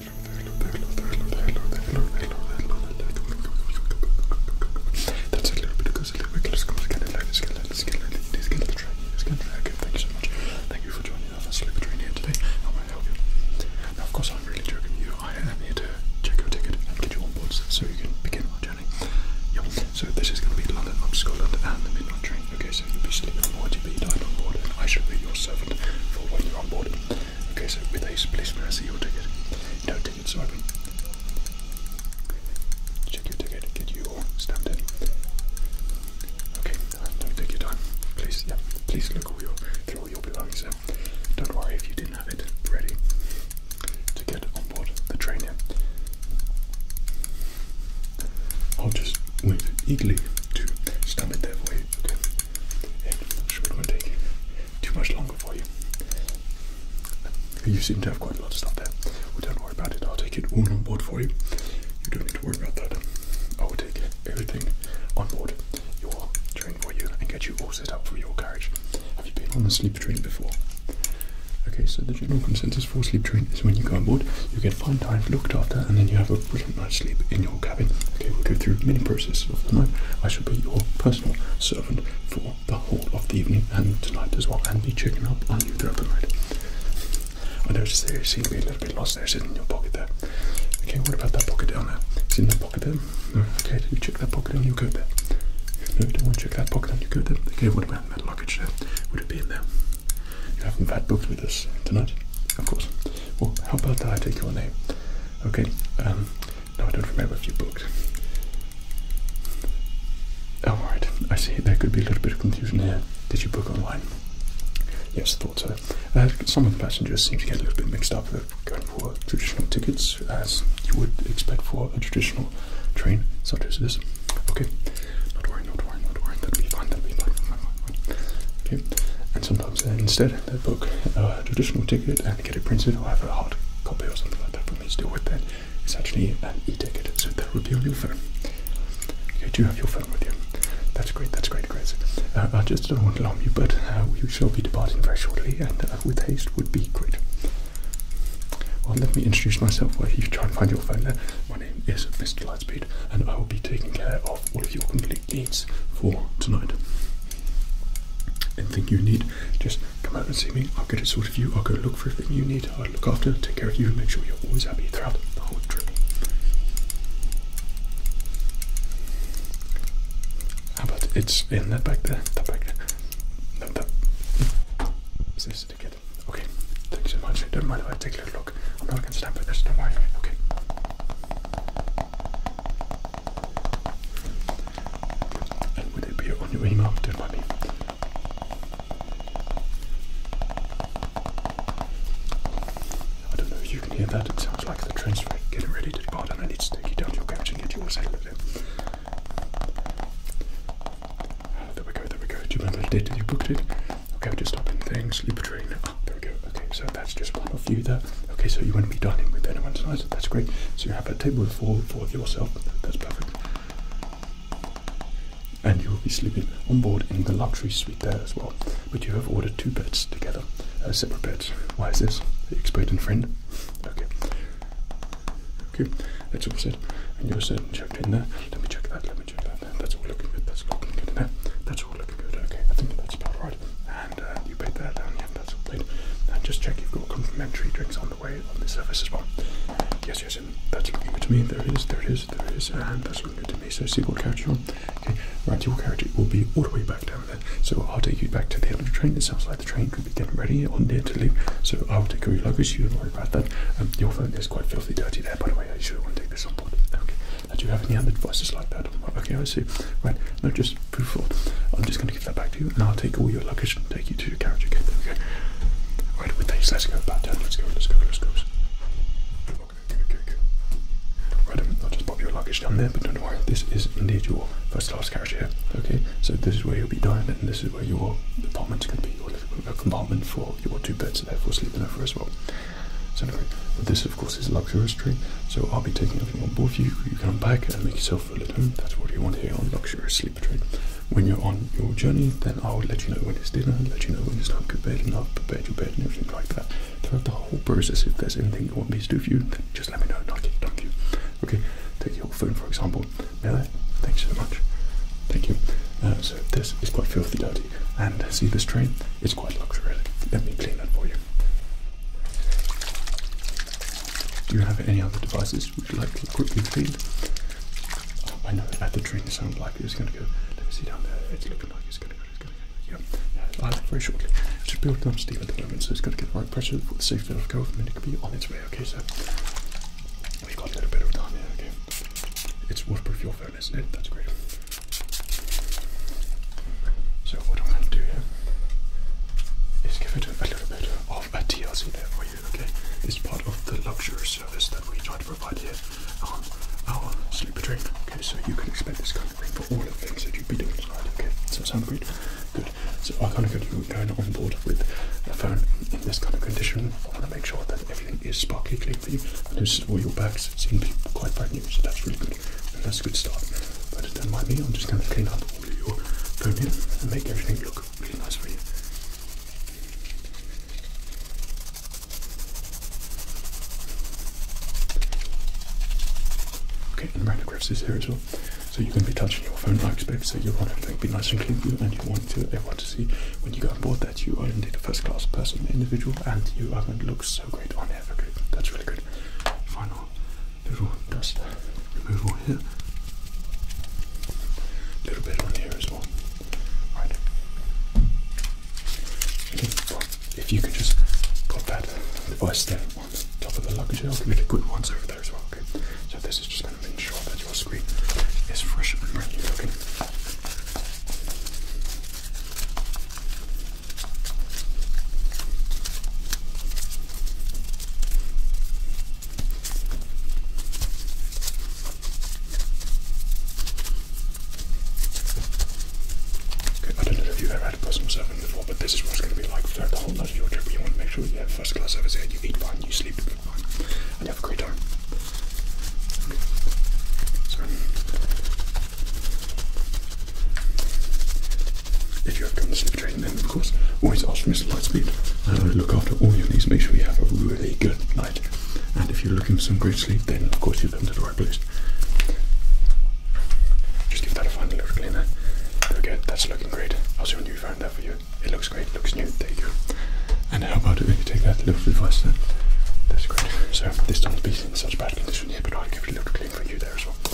That's a little bit of a little bit. Let's go again. Let's get let's get let's get the train. Let's get the train. Okay, thank you so much. Thank you for joining us on Sleeper Train today. I'm going to help you? Now, of course, I'm really joking with you. I am here to check your ticket and get you on board so you can begin our journey. So this is going to be London, to Scotland, and the midnight train. Okay, so you'll be sleeping on YTB, died on board, and I shall be your servant for when you're on board. Okay, so with haste, please can I see your ticket? No tickets open. Check your ticket, get your stamp in. Okay, don't uh, take your time. Please, yeah, please look all your, through your belongings there. Don't worry if you didn't have it ready to get on board the train here. I'll just wait eagerly to stamp it that way okay. It should not take too much longer for you. You seem to have quite a lot of stuff there. Well, don't worry about it. I'll take it all on board for you. You don't need to worry about that. I will take everything on board your train for you and get you all set up for your carriage. Have you been on a sleep train before? Okay, so the general consensus for sleep train is when you go on board, you get Find time, looked after, and then you have a brilliant night's sleep in your cabin. Okay, we'll go through many processes of the night. I shall be your personal servant for the whole of the evening and tonight as well, and be checking up on you throughout the night. I noticed there you seem to be a little bit lost there, it's in your pocket there. Okay, what about that pocket down there? It's in that pocket there? okay, did you check that pocket and you go there. No, you don't want to check that pocket and you go there. Okay, what about that luggage there? Would it be in there? You haven't had books with us tonight? Of course. Well, how about that I take your name? Okay. Um, no, I don't remember if you booked. Oh, alright. I see. There could be a little bit of confusion here. Did you book online? Yes, thought so. Uh, some of the passengers seem to get a little bit mixed up. they going for traditional tickets, as you would expect for a traditional train such as this. Okay, not worry, not worry, not worry. That'll be fine, that'll be fine. Okay. And sometimes uh, instead they book a uh, traditional ticket and get it printed or have a hard copy or something like that For me to deal with that. It's actually an e-ticket, so that would be on your phone. Okay, do you have your phone with you? That's great, that's great, great. Uh, I just don't want to alarm you, but uh, we shall be departing very shortly and with haste would be great. Well, let me introduce myself while you try and find your phone there. My name is Mr. Lightspeed and I will be taking care of all of your complete specific needs for tonight. Anything you need, just come out and see me. I'll get it sorted for you. I'll go look for everything you need. I'll look after, take care of you, and make sure you're always happy throughout the whole trip. How about it's in that back there? That back there? No, that. Is this it again? Okay, thank you so much. Don't mind if I take a look. I'm not going to stand for this, don't worry. Okay. And would appear on your email, don't I don't know if you can hear that, it sounds like the train's getting ready to depart and I need to take you down to your couch and get you all of in. There we go, there we go. Do you remember the date you booked it? Okay, just stop in things, sleep train there we go. Okay, so that's just one of you there. Okay, so you won't be dining with anyone tonight. That's great. So you have a table for for yourself. That's perfect. And you will be sleeping on board in the luxury suite there as well. But you have ordered two beds together, uh, separate beds. Why is this? Expert and friend. Okay. Okay, that's all said. And you're set checked in there. Let me check that. Let me check that. That's all looking good. That's all looking good there. That's all looking good. Okay, I think that's about right and uh, you paid there, and yeah, that's all paid. just check you've got complimentary drinks on the way on the service as well. Yes, yes, and that's looking good to me. There it is, there it is, there it is, and that's looking good to me. So see what carriage you're on. Okay, right, your carriage will be all the way back down there. So I'll take you back to the end of the train. It sounds like the train could be getting ready on there to leave. So I'll take all your luggage. You don't worry about that. Um, your phone is quite filthy dirty there, by the way. I should want to take this on board. Okay. I you have any other devices like that? Okay, I see. Right, no, just proof for. I'm just going to give that back to you, and I'll take all your luggage and take you to your carriage. Okay, Right, with these, let's go Let's go, let's go, let's go. Okay, okay, okay. Right, um, I'll just pop your luggage down there, but don't worry, this is indeed your first class carriage here. Okay, so this is where you'll be dining, and this is where your compartment's going to be, your living room, a compartment for your two beds, and therefore sleeping over as well. So this of course is a luxurious train. so I'll be taking everything on board you. You come back and make yourself a little. home. That's what you want here on luxurious sleeper train. When you're on your journey, then I will let you know when it's dinner, let you know when it's time to go bed, and I'll prepare your bed and everything like that. Throughout the whole process, if there's anything you want me to do for you, then just let me know I'll get it done for you. Okay, take your phone for example. Mele, thanks so much. Thank you. Uh, so this is quite filthy dirty, and see this train? It's quite luxurious. Let me clean that for you. Do you have any other devices would you like to quickly clean? I know that the drink sound like it's going to go. Let me see down there. It's looking like it's going to go. It's going to go. Yeah. yeah I'll have it very shortly. It's just building up steam at the moment, so it's going to get the right pressure for the safety bit of go and then it could be on its way. Okay, so we've got a little bit of time here. Okay. It's waterproof your phone, That's great. So what I'm going to do here is give it a little bit of a TLC there for you, okay? It's part of the luxury service that we try to provide here on our sleeper train. okay? So you can expect this kind of thing for all the things that you'd be doing tonight, okay? Does that sound good? Good. So I kind of got you going on board with a phone in this kind of condition. I want to make sure that everything is sparkly clean for you. I noticed all your bags seem to be quite brand new, so that's really good that's a good start. But don't mind me, I'm just going to clean up all of your phone here and make everything look really nice for you. Okay, the grips is here as well. So you're going to be touching your phone, I expect, so you want everything to be nice and clean for you, and you want everyone to see when you go on board that you are indeed a first-class person, individual, and you haven't looked so great on it that's really good. Final little dust removal here. little bit on here as well. Right. if you could just put that device there on top of the luggage, I'll give you the good ones over there as well. Okay. So this is just going to make sure that your screen is fresh and brand new. Okay. Okay, I don't know if you've ever had personal serving before, but this is what it's going to be like throughout the whole life of your trip. You want to make sure you have first class service here, you eat fine, you sleep fine, and you have a great time. Okay. If you have come to sleep training, then of course, always ask for Mr. Lightspeed. Uh, look after all your needs, make sure you have a really good night. And if you're looking for some great sleep, then of course you've come to the right place. Just give that a final little clean eh? there. Okay, that's looking great. I'll see when you found that for you. It looks great, looks new, Thank you And how about if you take that little advice then? That's great. So this doesn't be in such bad condition here, but I'll give it a little clean anything for you there as well. Okay.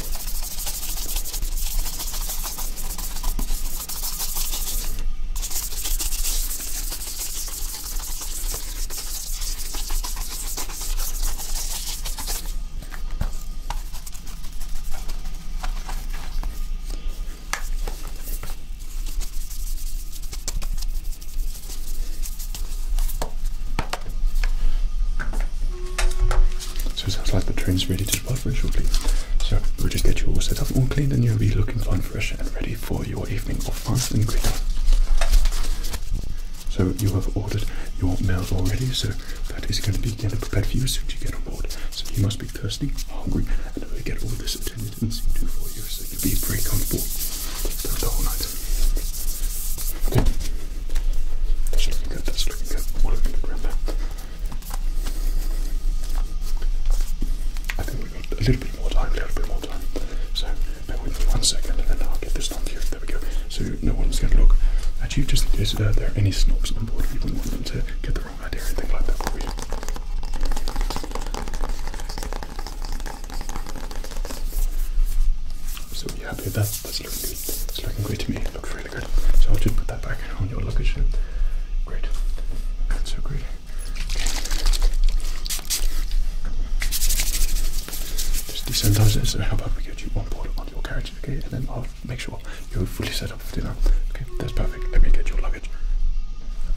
So it sounds like the train's ready to depart very shortly. So we'll just get you all set up, and clean, and you'll be looking fine, fresh, and ready for your evening off fast and greeting. So you have ordered your meal already, so that is going to be getting prepared for you as soon as you get on board. So you must be thirsty, hungry, and we'll get all this attended and see to for you so you'll be very comfortable the whole night. That's looking good, that's looking good. We're looking good right I think we've got a little bit more time, a little bit more time. So bear with one second and then I'll get this done here. There we go. So no one's gonna look at you just in there are any snobs on board. You would want them to get the wrong idea or anything like that for you. So you happy that? it's looking good. It's looking great to me. It looks really good. So I'll just put that back on your luggage. Great. That's so great. Okay. Just desensitize it. So how about we get you on board on your carriage, okay? And then I'll make sure you're fully set up for dinner. Okay, that's perfect. Let me get your luggage.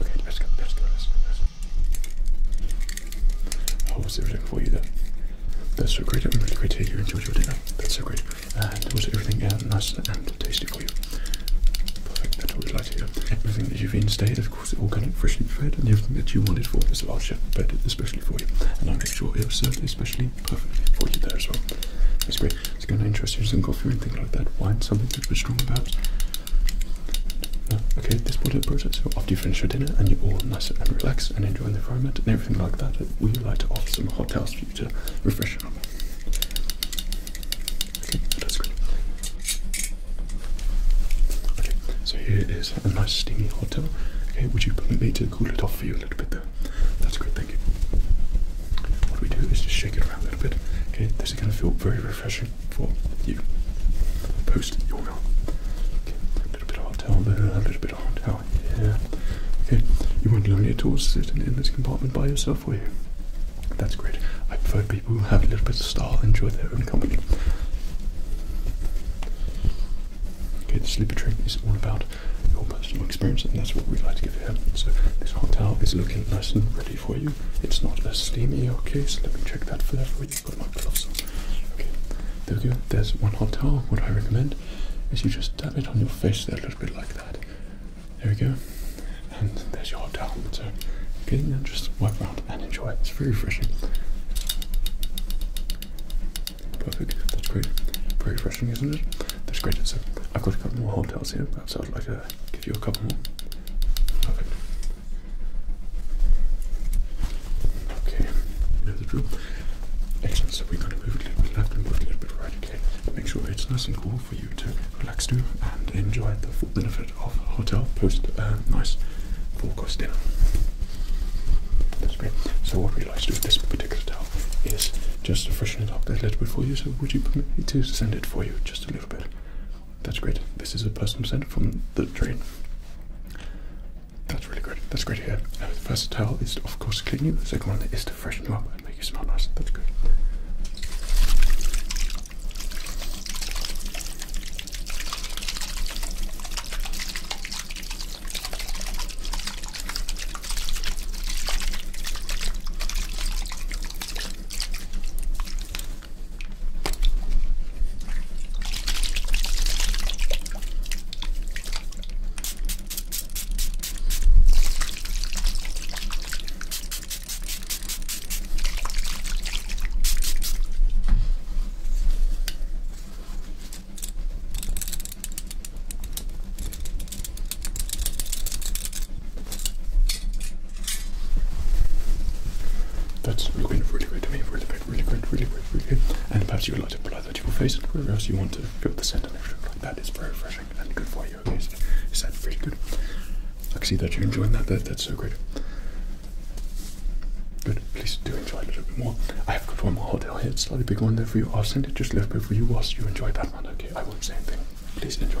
Okay, let's go. Let's go. Let's go. Let's go. I oh, was everything for you then. That's so great. I'm really great to hear you enjoyed your dinner. That's so great. And was everything uh, nice and tasty for you? Perfect. That's what we'd like to hear. Everything that you've instated, of course, all organic, freshly prepared, and everything that you wanted for this large chef prepared it especially for you. And I'll make sure it was served especially perfectly for you there as well. That's great. It's going to interest you some coffee or anything like that. Wine, something a bit are strong about. No. Okay, this part of the process, so after you finish your dinner and you're all nice and relaxed and enjoying the environment and everything like that, we would like to offer some hot towels for you to refresh on. Okay, so here is a nice steamy hot towel. Okay, would you permit me to cool it off for you a little bit there? That's great, thank you. What we do is just shake it around a little bit. Okay, this is going to feel very refreshing for you. Post your meal. a little bit of hot a little bit Hotel. yeah. Okay. You want not lonely at all to in, this compartment by yourself, will you? That's great. I prefer people who have a little bit of style, enjoy their own company. Okay, the sleeper train is all about your personal experience, and that's what we like to give here. So this hotel is looking nice and ready for you. It's not as steamy, okay? So let me check that for that for you. put my gloves on. Okay, there we go. There's one hotel. towel. What I recommend hand is you just dab it on your face there a little bit like that. There we go. And there's your hot towel. So get in there just wipe around and enjoy. It's very refreshing. Perfect. That's great. Very refreshing, isn't it? That's great. So I've got a couple more hotels towels here. Perhaps I'd like to give you a couple more. Okay, you the drill. Excellent. we're going to move a little bit left and move a little bit right, okay? Make sure it's nice and cool for you to relax to and enjoy the full benefit of a hotel post a uh, nice 4 course dinner. That's great. So what we like to do with this particular towel is just to freshen it up a little bit for you. So would you permit me to send it for you just a little bit? That's great. This is a personal send from the train. That's really good. That's great Here, hear. first towel is of course, clean you. The second one is to freshen you up and make you smell nice. That's good. That's looking really good to me, really good, really good, really good, really good. And perhaps you are a lot like blood that to your face and wherever else you want to go to the center and everything like that. It's very refreshing and good for you. Okay, is that really good? I see that you're enjoying that. that. That's so great. Good. Please do enjoy a little bit more. I have got one more hotel here. It's a slightly big one there for you. I'll send it just a little bit for you whilst you enjoy that one. Okay, I won't say anything. Please enjoy.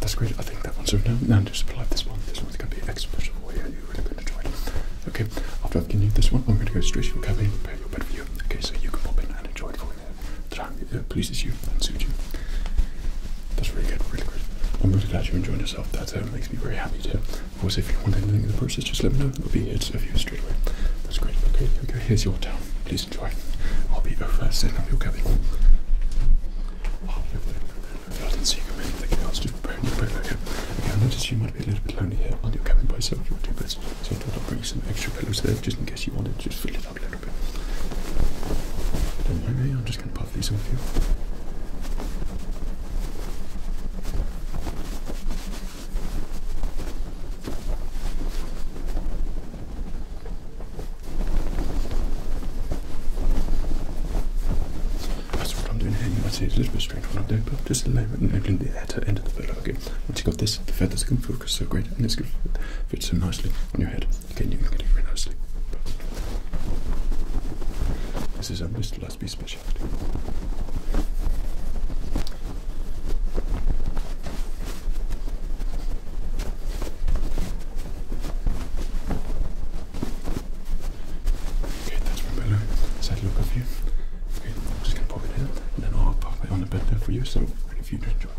That's great. I think that one's So now, now just apply this one. This one's going to be exponential. Yeah, Okay, after I've given you this one, I'm going to go straight to your cabin and prepare your bed for you. Okay, so you can pop in and enjoy it for The uh, time it uh, pleases you and suits you. That's really good, really great. I'm really glad you're enjoying yourself. That uh, makes me very happy too. Of course, if you want anything in the process, just let me know. I'll be here to serve you straight away. That's great. Okay, okay, here's your towel. Please enjoy. I'll be over setting up your cabin. Oh, I didn't see you come in. The you. I was your bed. Okay, okay I you be a little bit lonely here on your cabin by yourself. You'll do best. So I thought I'd bring some extra pillows there just in case you wanted to fill it up a little bit. Don't mind I'm just going to puff these off you. That's what I'm doing here. You might say a little bit just a moment and opening the outer end of the pillow again. Once you've got this, the feathers can focus so great and it's going to fit so nicely on your head. Again, you can get it very nicely. This is a Mr. Lusby speciality. Okay, that's my pillow. Let's Okay, I'm just gonna pop it in, and then I'll pop it on the bed there for you. So if you just join.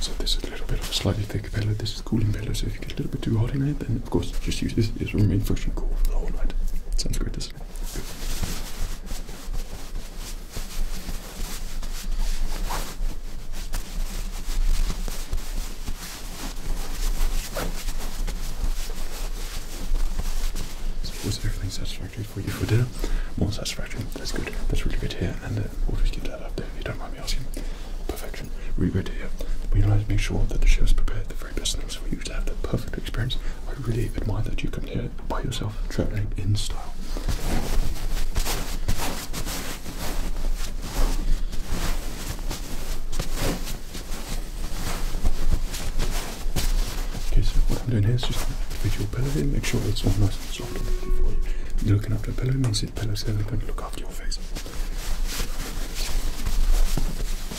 So this is a little bit of a slightly thick pillow. This is cooling pillow. if you get a little bit too hot in it, then of course just use this, this will remain friction cool for the whole night. Sounds great this. So was everything satisfactory for you for dinner? More satisfactory. That's good. That's really good here. And uh, we'll just keep that up there if you don't mind me asking. Perfect production really great to hear. We like to make sure that the chefs prepare the very best things for you to have the perfect experience. I really admire that you come here by yourself, traveling in style. Okay, so what I'm doing here is just individual pillow here, make sure it's all nice and soft and for you. Looking after the pillow means the pillow here, they going to look after your face.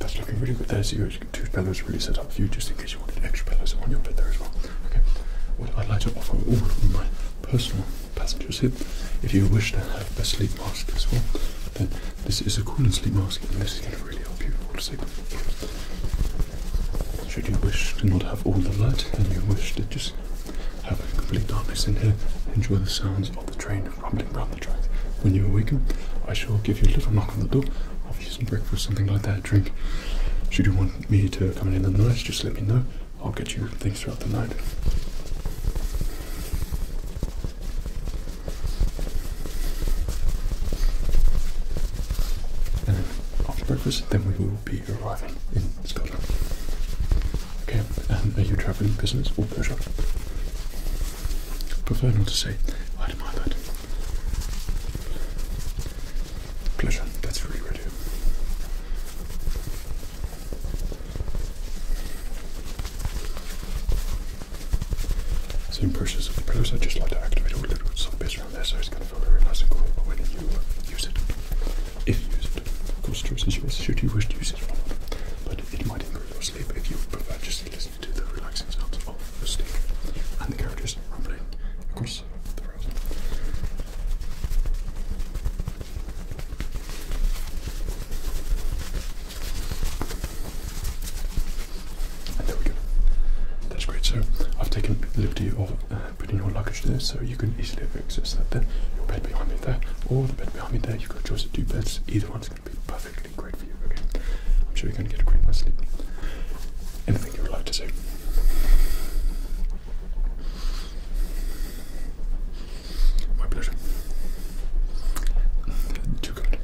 That's looking really good There's your two pillows really set up for you just in case you wanted extra pillows on your bed there as well. Okay. What I'd like to offer all of my personal passengers here, if you wish to have a sleep mask as well, then this is a cooling sleep mask and this is going to really help you fall asleep. Should you wish to not have all the light and you wish to just have complete darkness in here, enjoy the sounds of the train rumbling around the track. When you awaken, I shall give you a little knock on the door, offer you some breakfast, something like that, drink. Should you want me to come in in the night, just let me know. I'll get you things throughout the night after breakfast, then we will be arriving in Scotland. Okay, and are you travelling business or pleasure? Prefer not to say. I don't mind that. Pleasure. That's really good. Same process as the pillows. I just like to activate a little bit of some business on there, going to feel very nice and cool when you uh, use it. If you use it, of course, choice is yours. Should you wish to use it or not, but it might improve your sleep if you prefer just listening to the relaxing sounds of the steam and the characters rumbling across the rails. Ah, there we go. That's great. So I've taken liberty of uh, putting your luggage there, so you can easily access that there. Your bed behind me there, or the bed behind me there. You've got a choice of two beds. Either one's going to be perfectly great for you. Okay. I'm sure you're going to get a great night's sleep. Anything you would like to say? My pleasure. Too good.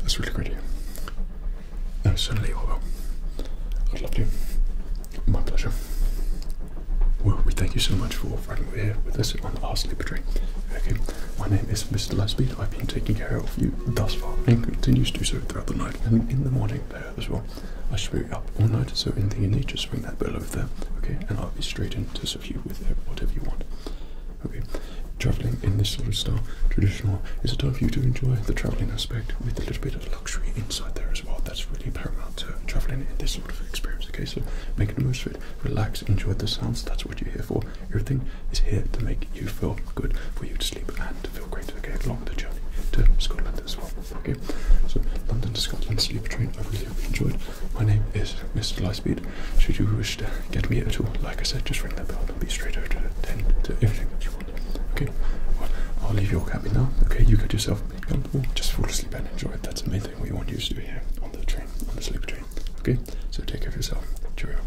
That's really great here. No, certainly, although i love to. My pleasure. Well, we thank you so much for riding over here with us on our sleeper train. Okay, my name is Mr. Lightspeed. I've been taking care of you thus far and continues to do so throughout the night and in the morning as well. I will should you up all night, so anything you need, just ring that bell over there, okay? And I'll be straight in to serve you with whatever you want. Okay, traveling in this sort of style, traditional, is a time for you to enjoy the traveling aspect with a little bit of luxury inside there as well. That's really paramount to traveling in this sort of experience. Okay, so make the most of it, relax, enjoy the sounds. That's what you're here for. Everything is here to make you feel good, for you to sleep and to feel great. Okay, along the journey to Scotland as well. Okay, so London to Scotland sleeper train. I really hope you enjoyed. My name is Mr. Lightspeed. Should you wish to get me at all, like I said, just ring that bell. and be straight over to ten to everything that you want. Okay, well, I'll leave your cabin now. Okay, you get yourself comfortable. Just fall asleep and enjoy it. That's the main thing we want you to do here on the train, on the sleep train. Okay, so take care of yourself. Cheerio.